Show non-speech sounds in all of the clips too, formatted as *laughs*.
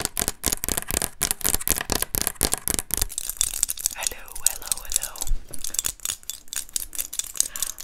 Hello, hello, hello.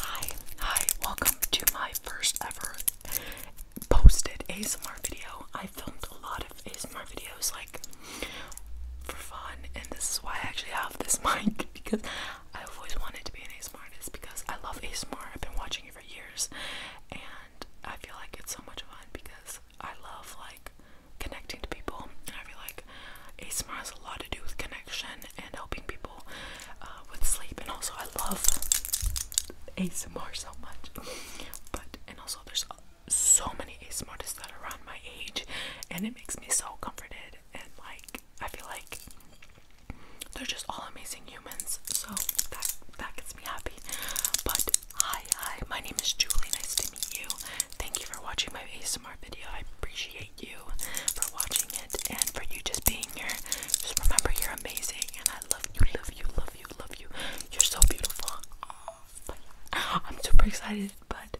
Hi, hi, welcome to my first ever posted ASMR video. I filmed a lot of ASMR videos like for fun, and this is why I actually have this *laughs* mic because I've always wanted to be an ASMR artist because I love ASMR. I've been watching it for years, I feel like it's so much fun because I love like connecting to people, and I feel like ASMR has a lot to do with connection and helping people uh, with sleep, and also I love ASMR so much. *laughs* But and also there's so many ASMR that are around my age, and it makes me so comforted, and like I feel like they're just all amazing so that that gets me happy. But hi, hi, my name is Julie. Nice to meet you. Thank you for watching my ASMR video. I appreciate you for watching it and for you just being here. Just remember, you're amazing, and I love you, love you, love you, love you. You're so beautiful. Oh, I'm super excited, but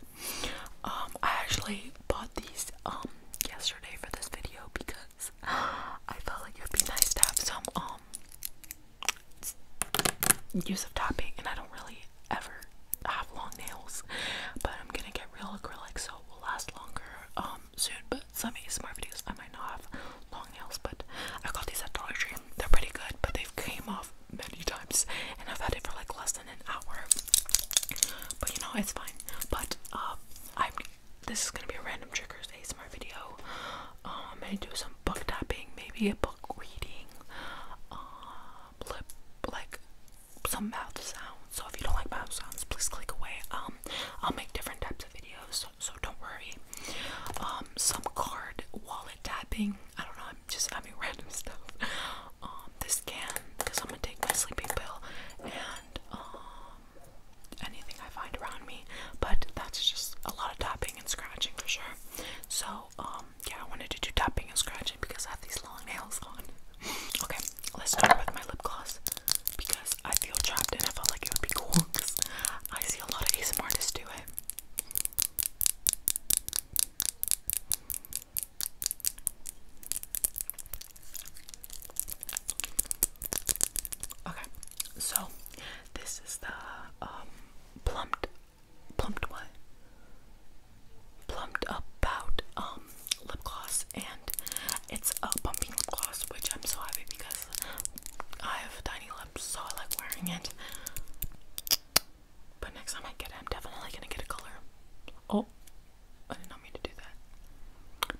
um, I actually bought these um yesterday for this video because I felt like it would be nice to have some um use of tapping, and I don't really ever have long nails, but I'm gonna get real acrylic so it will last longer um, soon. But some of ASMR videos I might not have long nails, but I got these at Dollar Tree. They're pretty good, but they've came off many times, and I've had it for like less than an hour. But you know, it's fine. But um, I'm this is gonna be a random triggers smart video. Um, I'm do some book tapping, maybe a book reading, um, lip, like some mouth sounds. So if you don't like mouth sounds, please click away. Um, I'll make different types of videos, so, don't worry. Um, some card wallet tapping. I don't know. I'm just having *laughs* random stuff. Um, this can because I'm gonna take my sleeping pill and um anything I find around me, but that's just a lot of tapping and scratching for sure. So, um, yeah, I wanted to do tapping and scratching because I have these long nails on. *laughs* okay, let's start with my lip gloss because I feel trapped and I felt like it would be cool *laughs* I see a lot of ASMR artists do it. Okay, so this is the um plumped plumped what? Plumped about um lip gloss and it's a bumping lip gloss which I'm so happy because I have tiny lips so I like wearing it. But next time I get it I'm definitely gonna get a color. Oh I did not mean to do that.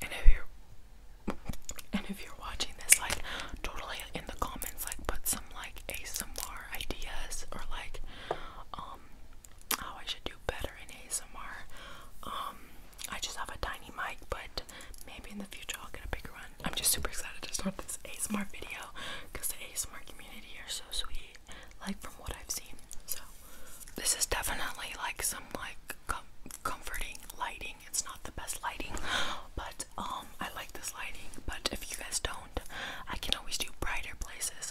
And if you're and if you're watching this like totally in the comments like put some like ASMR ideas or like um, how I should do better in ASMR. Um, I just have a tiny mic but maybe in the future I'll get a bigger one. I'm just super excited to start this ASMR video because the ASMR community lady are so sweet, like from what I've seen. So this is definitely like some like comforting lighting. It's not the best lighting, *gasps* but um I like this lighting. But if you guys don't, I can always do brighter places.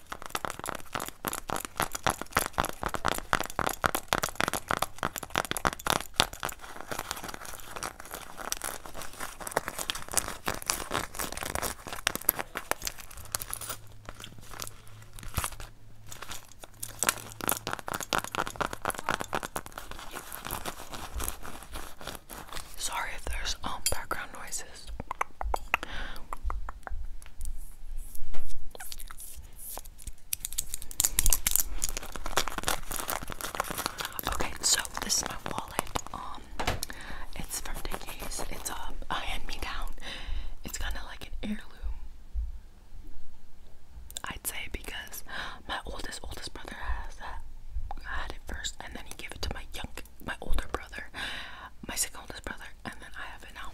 Sorry if there's um background noises. Okay, so this is my wallet. Um, it's from Dickies. It's um, a, hand-me-down. It's kind of like an heirloom, I'd say, because my oldest oldest brother has that. I had it first, and then he gave it to my young my older brother, my second oldest brother, and then I have it now.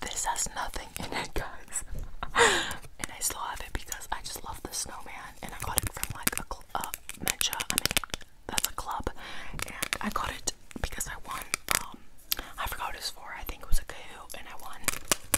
This has nothing in it, guys. and I still have it because I just love the snowman, and I got it from like a cl uh, I mean, that's a club, and I got it because I won. Um, I forgot what it was for. I think it was a cahoo, and I won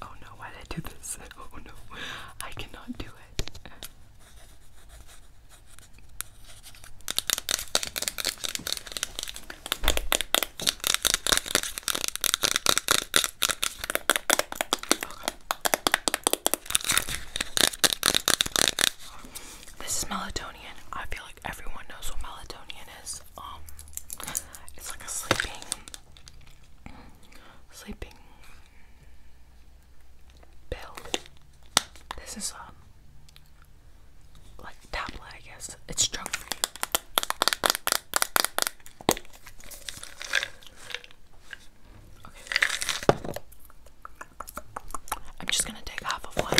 Oh no, why did I do this? *laughs* Oh no, I cannot do it. This is melatonin. I feel like everyone knows what melatonin is. Um, it's like a sleeping, sleeping build. This is um like tablet, I guess. It's strong Okay. I'm just gonna take half of one.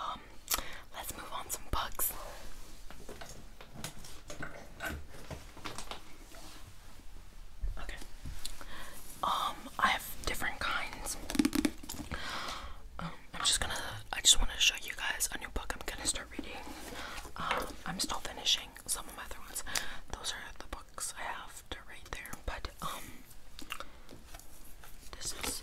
Um, let's move on some bugs. Okay. Um, I have different kinds. Um, I'm just gonna. I just want to show you guys a new book. I'm gonna start reading. Um, I'm still finishing some of my other ones. Those are the books I have to read there. But um, this is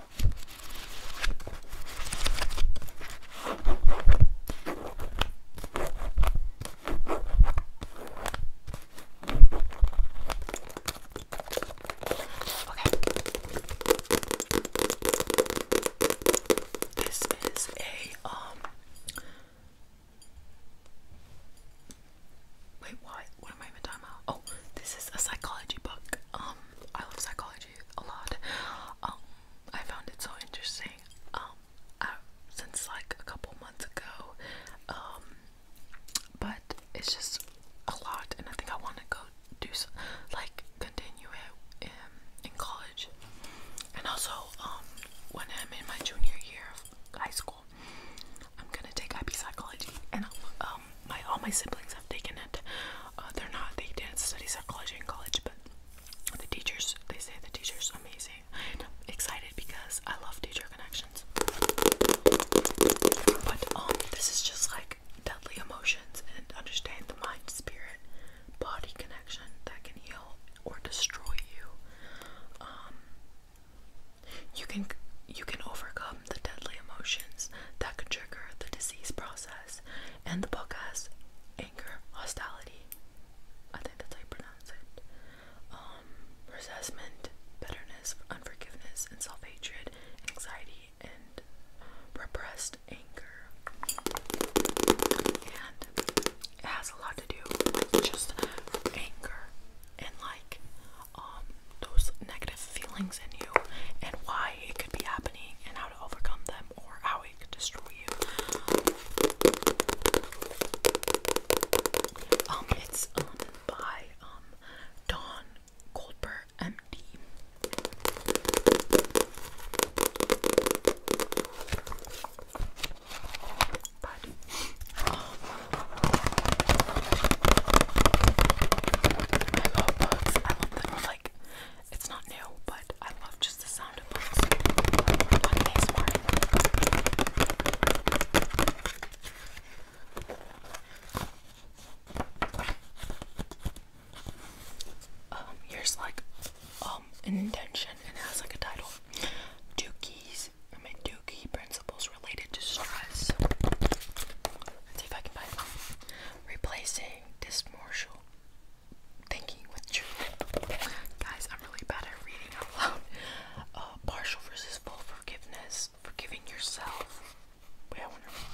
Okay. This is a um Wait, what? What am I even talking about? Oh, this is a psychology book. Um, I love psychology a lot. Um, I found it so interesting. Um, uh, since like a couple months ago. Um, but it's just a lot, and I think I want to go do some, like continue it in, in college. And also, when I'm in my junior year of high school, I'm gonna take IP psychology, and I'll, um, my all my siblings have taken it. Uh, they're not they didn't study psychology in college, but the teachers they say the teachers amazing. I'm excited because I love teacher connections. But um, this is just like deadly emotions and understand the mind, spirit, body connection that can heal or destroy you. Um, you can you can overcome um, the deadly emotions that could trigger the disease process, and the book has anger, hostility. I think that's how you pronounce it. Um, resentment, bitterness, unforgiveness, and self-hatred, anxiety, and uh, repressed anger. And it has a lot to do with just anger and like um, those negative feelings in you and why it could be happening and how to overcome them or how it could destroy you. Um, it's um by um Dawn Goldberg MD. But um, I love bugs. I love them. Like, it's not new, but I love just the sound of bugs Um, here's like um an intention and it has like a title. Dookie's I mean principles related to stress. Let's see if I can find them. Replacing dismortial thinking with truth. Guys, I'm really bad at reading out loud. Uh, partial versus full forgiveness. Forgiving yourself. Wait, I want to read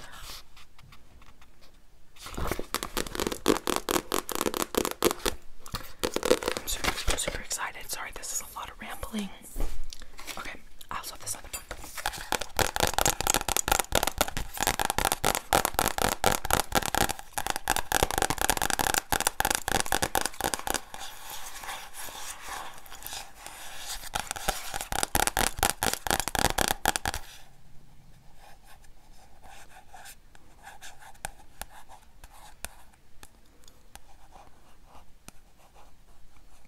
that. I'm super excited. Sorry, this is a lot of rambling. Okay, I'll swap this on the book.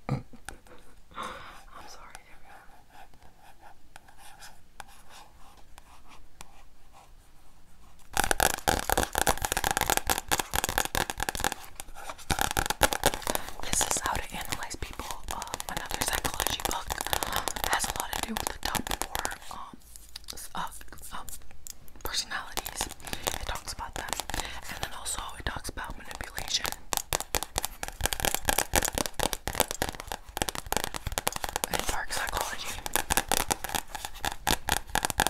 I'm sorry, This is how to analyze people. Um, another psychology book has a lot to do with the top four um, uh, um, personalities. It talks about them, and then also it talks about manipulation. It's psychology,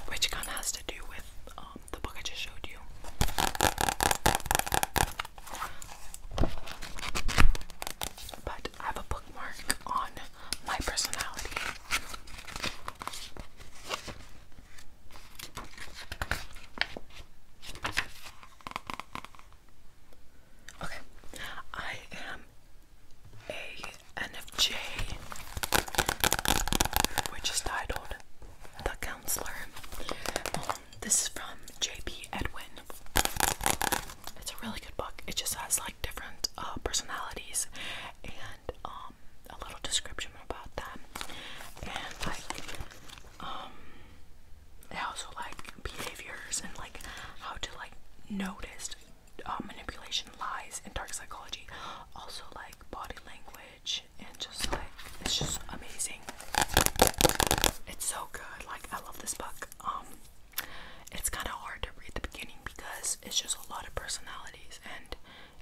which kind of has to do with um, the book I just showed you. But I have a bookmark on my personality. Okay, I am a NFJ, which is titled The Counselor. Um, this is from JP Edwin. It's a really good book. It just has like different uh, personalities and um, a little description about them and like um they also like behaviors and like how to like notice uh, manipulation lies and dark psychology also like body language and just like it's just amazing it's so good like i love this book um it's kind of hard to read the beginning because it's just a lot of personalities and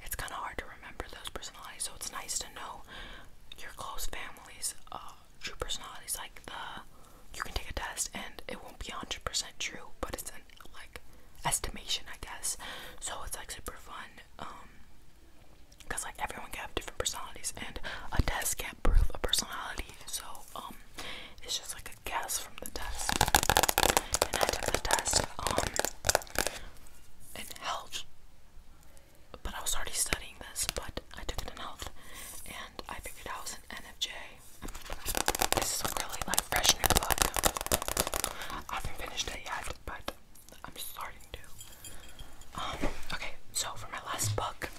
it's kind of hard to remember those personalities. So it's nice to know your close family's uh, true personalities. Like the you can take a test and it won't be 100% true, but it's an like estimation, I guess. So it's like super fun. Um, because like everyone can have different personalities and a test can't prove a personality so um it's just like a guess from the test and i took the test um in health but I was already studying this, but I took it in health and I figured I was an NFJ. This is a really like fresh new book. I haven't finished it yet, but I'm starting to. Um, okay, so for my last book.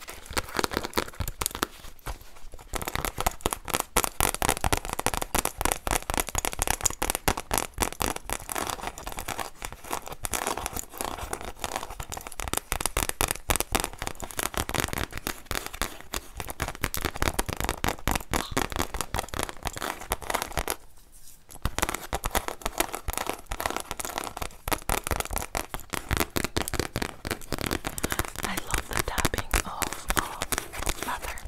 I love the tapping of um, leather.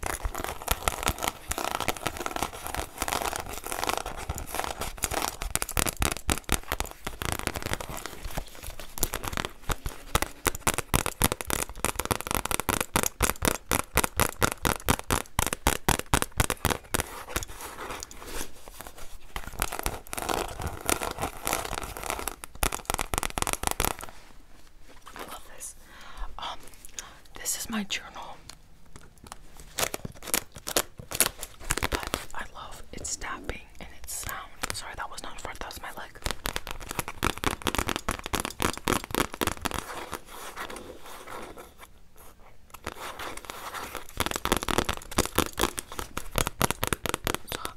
Love this. Um, this is my journal. But I love its tapping and its sound. Sorry, that was not far, that was my leg.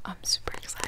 I'm super excited.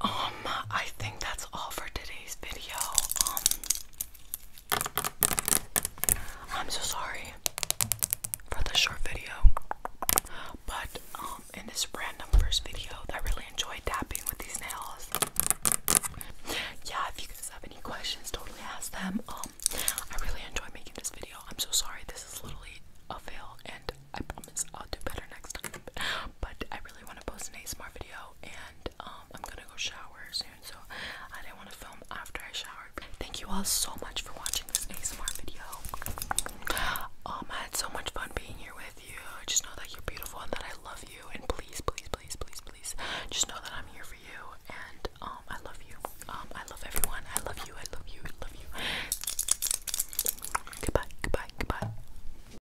Um, I think that's all for today's video. Um, I'm so sorry for the short video, but um, in this random first video, I really enjoyed dabbing with these nails. Yeah, if you guys have any questions, totally ask them. Um, I really enjoy making this video. I'm so sorry, this is literally a fail, and I promise I'll do better next time. But I really want to post an ASMR video, and um, I'm gonna go shower soon, so I didn't want to film after I showered. Thank you all so much for watching this ASMR video. Um, I had so much fun being here with you. Just know that you're beautiful and that I love you. And please, please, please, please, please, just know that I'm here for you. And um, I love you. Um, I love everyone. I love you. I love you. I love you. Goodbye. Goodbye. Goodbye.